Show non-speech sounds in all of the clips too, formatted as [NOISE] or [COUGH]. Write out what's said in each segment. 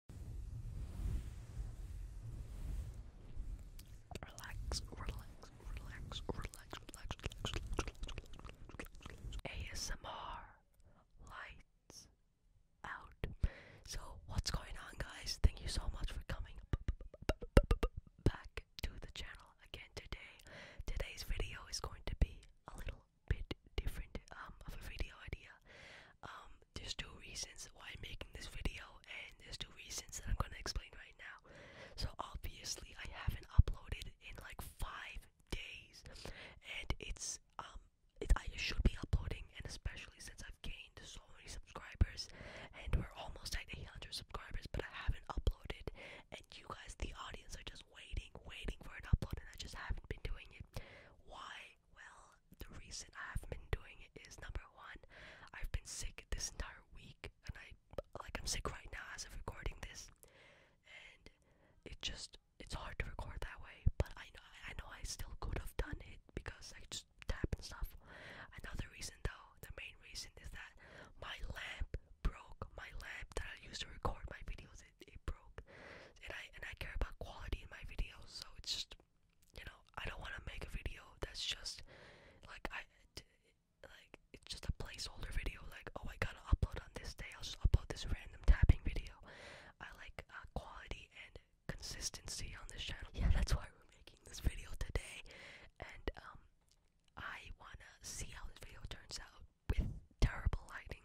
ASMR lights out. So, what's going on, guys? Thank you so much for coming back to the channel again today. Today's video is going to be a little bit different of a video idea. Um, there's two reasons why I'm making this video, and there's two reasons that I'm gonna explain right now. So obviously, I haven't uploaded in like five days, and it's um, it, I should be uploading, and especially since I've gained so many subscribers, and we're almost at 800 subscribers, but I haven't uploaded, and you guys, the audience, are just waiting, waiting for an upload, and I just haven't been doing it. Why? Well, the reason I haven't been doing it is number one, I've been sick this entire week, and I like I'm sick right now as of recording this, and it just it's hard to record that way. But I know I know I still could have done it because I just tap and stuff. Another reason though, the main reason is that my lamp broke. My lamp that I used to record my videos it, broke. And I and I care about quality in my videos, so it's just you know I don't want to make a video that's just like I like it's just a placeholder video. Like oh I gotta upload on this day, I'll just upload this random tapping video. I like uh, quality and consistency on this channel. Yeah, that's why we're making this video today, and um I wanna see how this video turns out with terrible lighting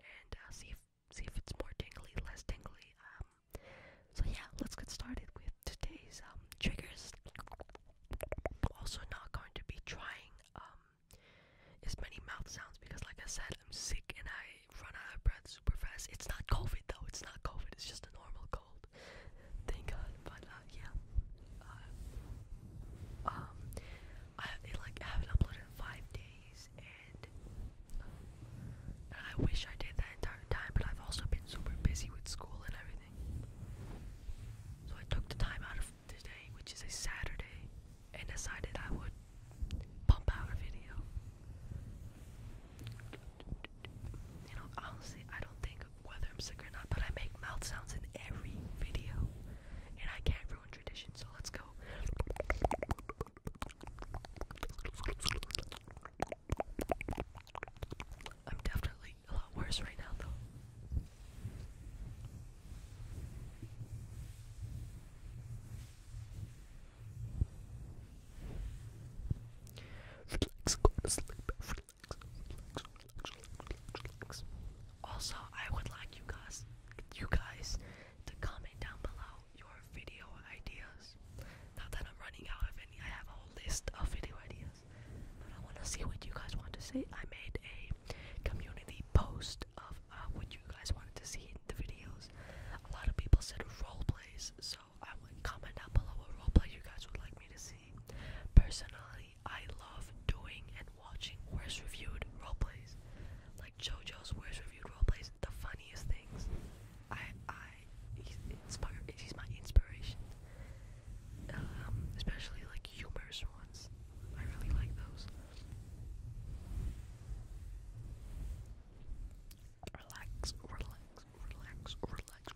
and uh, see if see if it's more tingly, less tingly. Um, so yeah, let's get started with today's um, triggers. Also, not going to be trying um, as many mouth sounds because, like I said, I'm sick and I run out of breath super fast. It's not COVID though. It's not COVID. It's just a normal cold. Thank God. But uh, yeah. Uh, um, I it, like I haven't uploaded five days and I wish I did that entire time, but I've also been super busy with school and everything. So I took the time out of today, which is a Saturday, and decided I would pump out a video. You know, honestly, I don't think whether I'm sick or not, but I make mouth sounds in every video, and I can't ruin tradition, so let's go. I'm definitely a lot worse right now, though. Also, I would like you guys, you guys, to comment down below your video ideas. Not that I'm running out of any, I have a whole list of video ideas. But I want to see what you guys want to see. I made a community post of uh, what you guys wanted to see in the videos. A lot of people said role plays, so I would comment down below what role play you guys would like me to see. Personally, I love doing and watching worst reviewed roleplays, like JoJo's worst reviewed roleplays, the funniest things. I I he's, inspire, he's my inspiration. especially like humorous ones. I really like those. relax, relax, relax, relax, relax,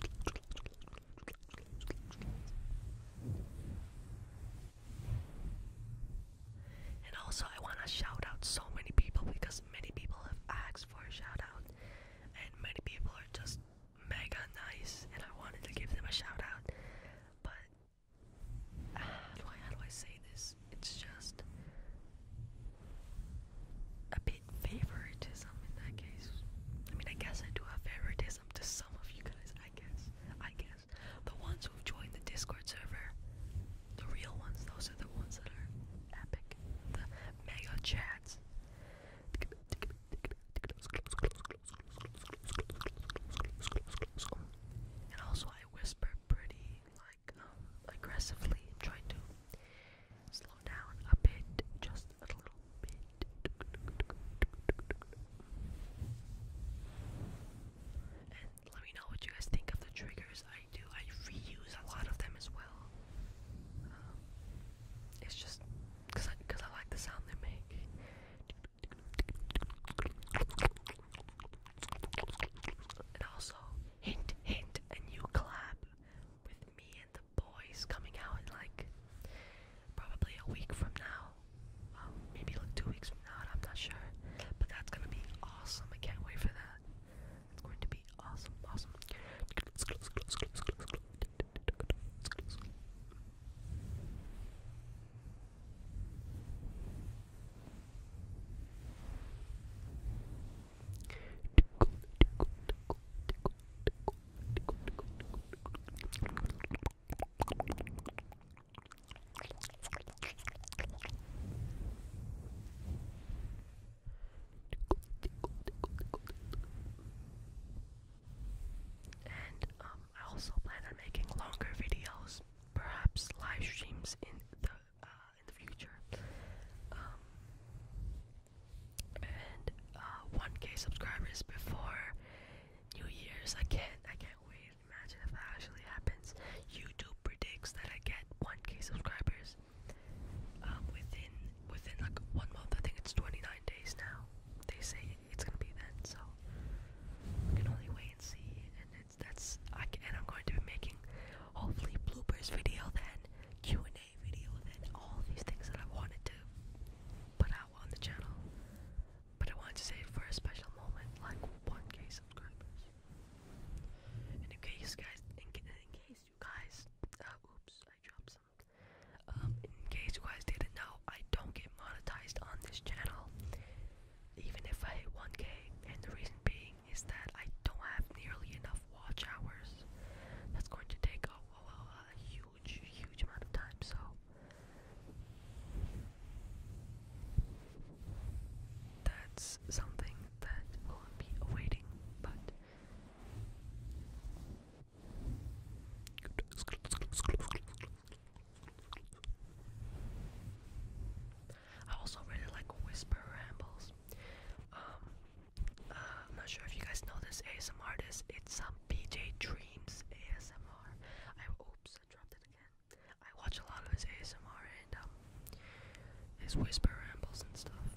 relax. And also, I want to shout out so many people because many people have asked for a shout out, and many people are just mega nice, and I wanted to give them a shout out. But [SIGHS] how do I, do I say this? It's just a bit favoritism in that case. I mean, I guess I do have favoritism to some of you guys. I guess. I guess. The ones who've joined the Discord server, the real ones, those are the ones that are epic. The mega chats. And also, I whisper pretty, like, um, aggressively, trying to slow down a bit, just a little bit let me know what you guys think of the triggers. I do, I reuse a lot of them as well. Um, it's just because I, cause I like the sound they make. And also, hint, hint, a new collab with me and the boys coming out in like probably a week from now. Um, maybe like two weeks from now, I'm not sure. But that's gonna be awesome. I can't wait for that. It's going to be awesome, awesome. And um, I also plan on making longer videos, perhaps live streams in the uh, in the future. Um, and uh, 1K subscribers before New Year's. I can't. I can't wait. Imagine if that actually happens. YouTube predicts that I get 1K subscribers um, within within like one month. I think it's 29 days now. They say it's gonna be then. So we can only wait and see. And that's. I and I'm going to be making hopefully bloopers video then, Q and A video then, all these things that I wanted to put out on the channel but I wanted to save for a special moment, like 1k subscribers. in case guys, in, case you guys, uh, oops, I dropped some. Um, in case you guys didn't know, I don't get monetized on this channel, even if I hit 1k. And the reason being is that I don't have nearly enough watch hours. That's going to take a, a, huge, huge amount of time, so that's something that will be awaiting, but I also really like whisper rambles. Um, am uh, not sure if you guys know this ASMR artist. It's some um, PJ Dreams ASMR. I watch a lot of his ASMR and um, his whisper rambles and stuff.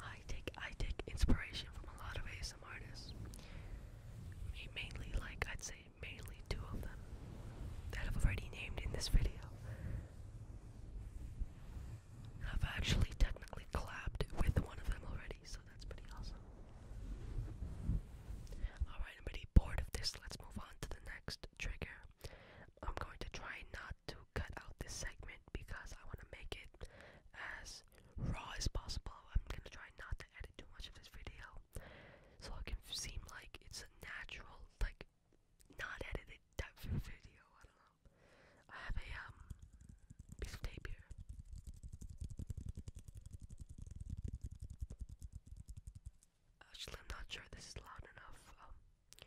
I take I take inspiration from a lot of ASMR artists. Mainly, like I'd say, mainly two of them that I've already named in this video. I've actually technically collabed with one of them already so that's pretty awesome. Alright, i bored of this. Let's move on to the next trigger. I'm going to try not to cut out this segment because I want to make it as raw as possible. I'm going to try not to edit too much of this video so it can seem like it's a natural, like, not edited type of video. I have a um, piece of tape here. Uh, actually, I'm not sure this is loud enough um, for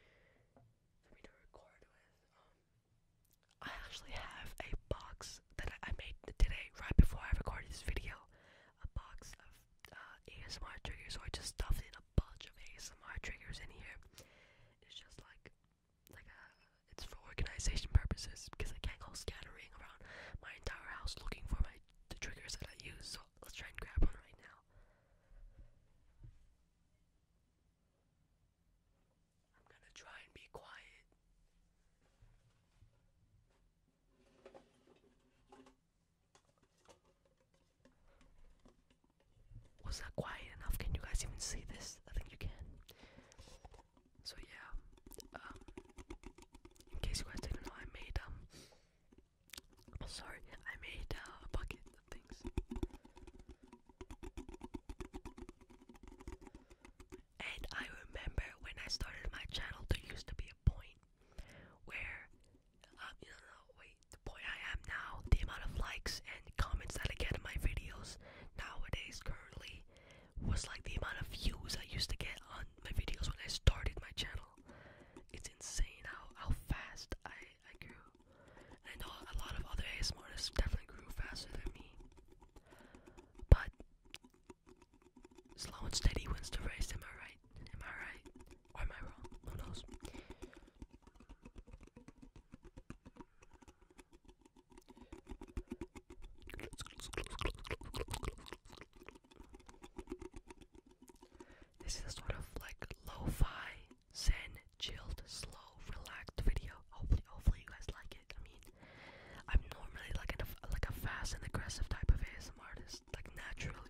me to record with. Um, I actually have a box that I, made today, right before I recorded this video. A box of uh, ASMR triggers, so I just stuffed in a bunch of ASMR triggers in here. It's just like like uh, it's for organization purposes because I can't go scattering around my entire house looking for my triggers that I use. So let's try and grab one right now. I'm gonna try and be quiet. Was that quiet enough? Can you guys even see this? I think you can. So yeah, um, in case you guys didn't know, I made um, sorry, I made uh, a bucket of things. And I remember when I started my channel, there used to be a point where, uh, you know, wait, the point I am now, the amount of likes comments that I get in my videos nowadays currently was like the amount of views I used to get on my videos when I started my channel. It's insane how, how fast I, I grew. And a lot of other ASMR definitely grew faster than me. But slow and steady wins the race, am I right? Am I right? Or am I wrong? Who knows? This is a sort of like lo-fi, zen, chilled, slow, relaxed video. Hopefully, hopefully you guys like it. I mean, I'm normally like an, like a fast and aggressive type of ASMR artist, like naturally.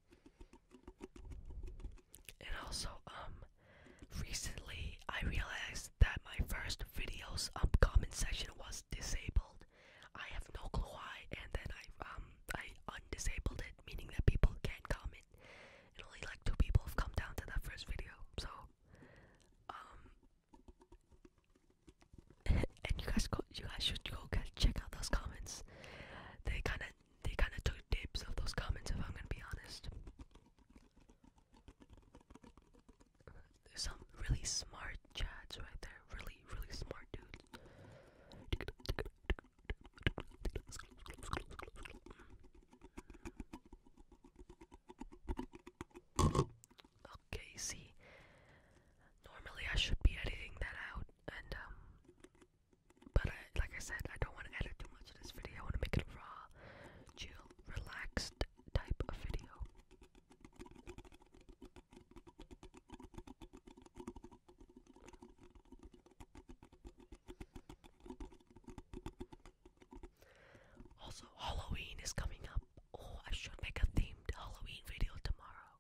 And also, um, recently I realized that my first video's um comment section was disabled. I have no clue why, and then I um I undisabled it, meaning that people can comment. And only like two people have come down to that first video. So, um, [LAUGHS] and you guys go, you guys should go get, check out those comments. They kind of they kind of took dibs of those comments, if I'm gonna be honest. There's some really smart chads right there. Really, really smart dudes. Okay, see, normally I should be editing that out, and um, but I, like I said, I don't want to edit too much of this video. I want to make it a raw, chill, relaxed type of video. Also, Halloween is coming up. Oh, I should make a themed Halloween video tomorrow.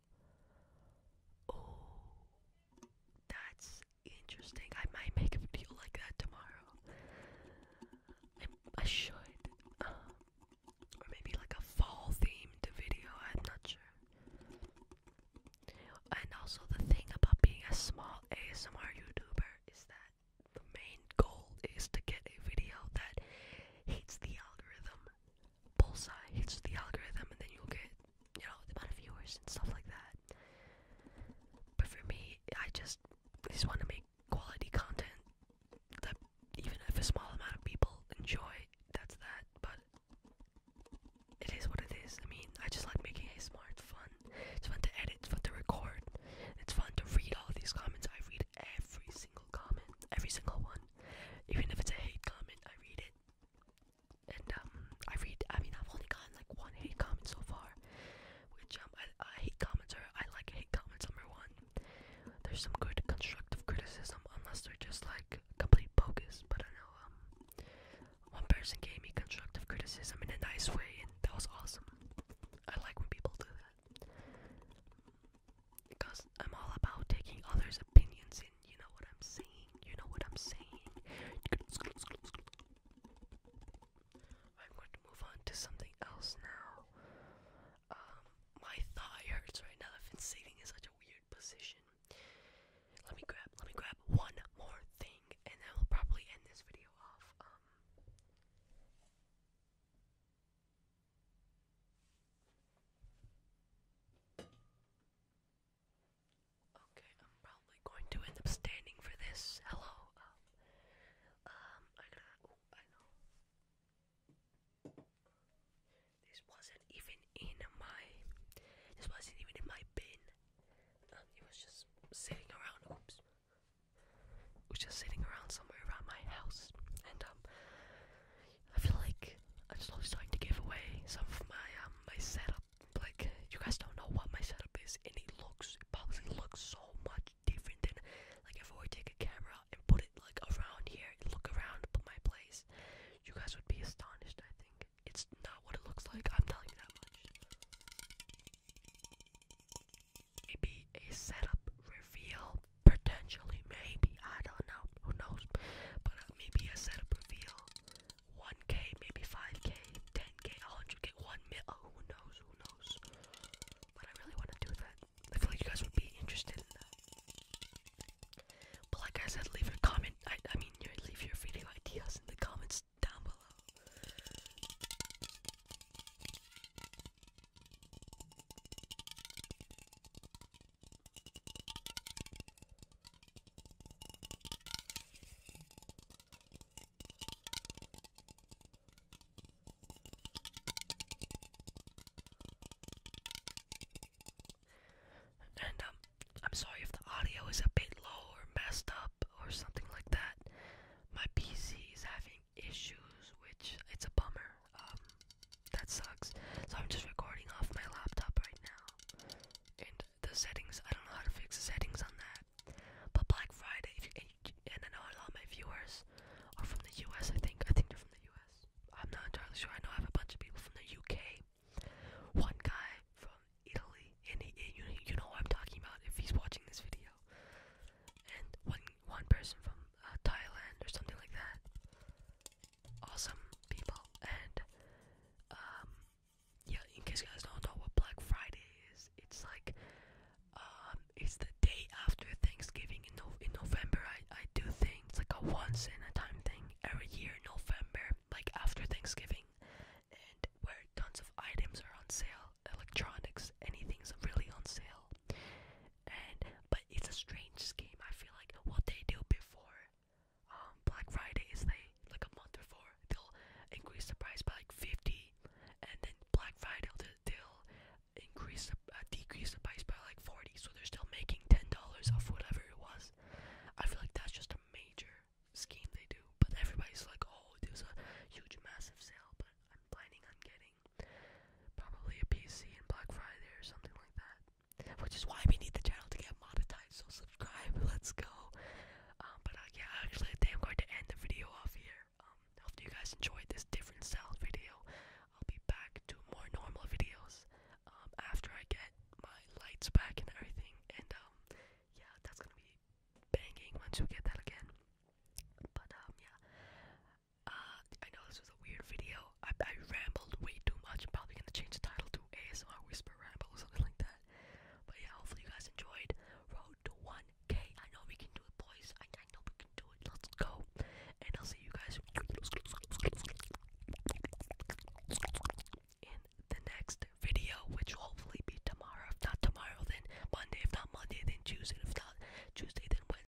Oh, that's interesting. I might make a video like that tomorrow. I, should. Um, or maybe like a fall themed video, I'm not sure. And also, the thing about being a small ASMR YouTuber is that the main goal is to get a video that hits the algorithm both hits the algorithm, and then you'll get, you know, the amount of viewers and stuff like that. But for me, I just I just want to make quality content that even if a small amount of people enjoy, that's that. But it is what it is. I mean, I just like making ASMR. It's fun. It's fun to edit. It's fun to record. It's fun to read all these comments. I read every single comment, every single one, even if it's a hate comment. I read it and um, I read. I mean, I've only gotten like one hate comment so far, which um, I, hate comments are. I like hate comments. Number one, there's some good constructive criticism, unless they're just like complete bogus. But I know um, one person gave me constructive criticism in a nice way, and that was awesome. I like when people do that because I'm all about taking others' opinions in you know what I'm saying. You know what I'm saying. I'm going to move on to something else now. Um, my thigh hurts right now. i sitting in such a weird position. Let me grab. Let me grab one more thing, and then we'll probably end this video off. Um. Okay, I'm probably going to end up standing for this. Hello. Um, um oh, I know. This wasn't even in my. This wasn't even in my bin. Um, it was just sitting around. Oops. It was just sitting around somewhere around my house, and um, I feel like I'm slowly starting to give away some of my um my setup. Like you guys don't know what my setup is, and it looks probably looks so much different than like if I take a camera and put it like around here, and look around but my place. You guys would be astonished. I think it's not what it looks like. I'm telling you that much. it a setup reveal Potentially, maybe. I don't know. Who knows? But uh, maybe a setup reveal. 1k, maybe 5k, 10k, 100k, 1 mil. Oh, who knows? Who knows? But I really want to do that. I feel like you guys would be interested in that. But like I said, leave your comment. I, I mean, leave your video ideas in the comments down below. And um, I'm sorry if the audio is a bit low or messed up or something like that. My PC is having issues, which it's a bummer. Um, that sucks. So I'm just recording off my laptop right now. And the settings, I don't know how to fix the settings on that. But Black Friday, if you, and I know a lot of my viewers are from the US, I think. I think they're from the US. I'm not entirely sure. I know I have a bunch of people from the UK. One guy from Italy, and you, you know what I'm talking about if he's watching this video. And one one person from uh, Thailand or something like that awesome people. And um, yeah, in case you guys don't know what Black Friday is, it's like um, it's the day after Thanksgiving in no in November. I I do things it's like a once in a time thing every year in November, like after Thanksgiving, and where tons of items are on sale, electronics, anything's really on sale and but it's a strange scheme. I feel like what they do before um, Black Friday is they like a month before they'll increase the price by like fifty, and then Black Friday they'll, they'll increase the, uh, decrease the price by like forty. So they're still making ten dollars off whatever it was. I feel like that's just a major scheme they do. But everybody's like, oh, there's a huge massive sale, but I'm planning on getting Probably a PC and Black Friday or something like that. Which is why we need the channel to get monetized, so subscribe, [LAUGHS] let's go. Um, but uh, yeah, actually, I am going to end the video off here. Um, hope you guys enjoyed this different style video. I'll be back to more normal videos um, after I get my lights back and everything. And um, yeah, that's gonna be banging once we get that again. But um, yeah, uh, I know this was a weird video. I, I rambled way too much. I'm probably gonna change the title to ASMR Whisper Rambles or something like that. But yeah, hopefully you guys enjoyed. Road to 1K. I know we can do it, boys. I, I know we can do it. Let's go. And I'll see you guys in the next video, which hopefully be tomorrow. If not tomorrow, then Monday. If not Monday, then Tuesday. If not Tuesday, then Wednesday.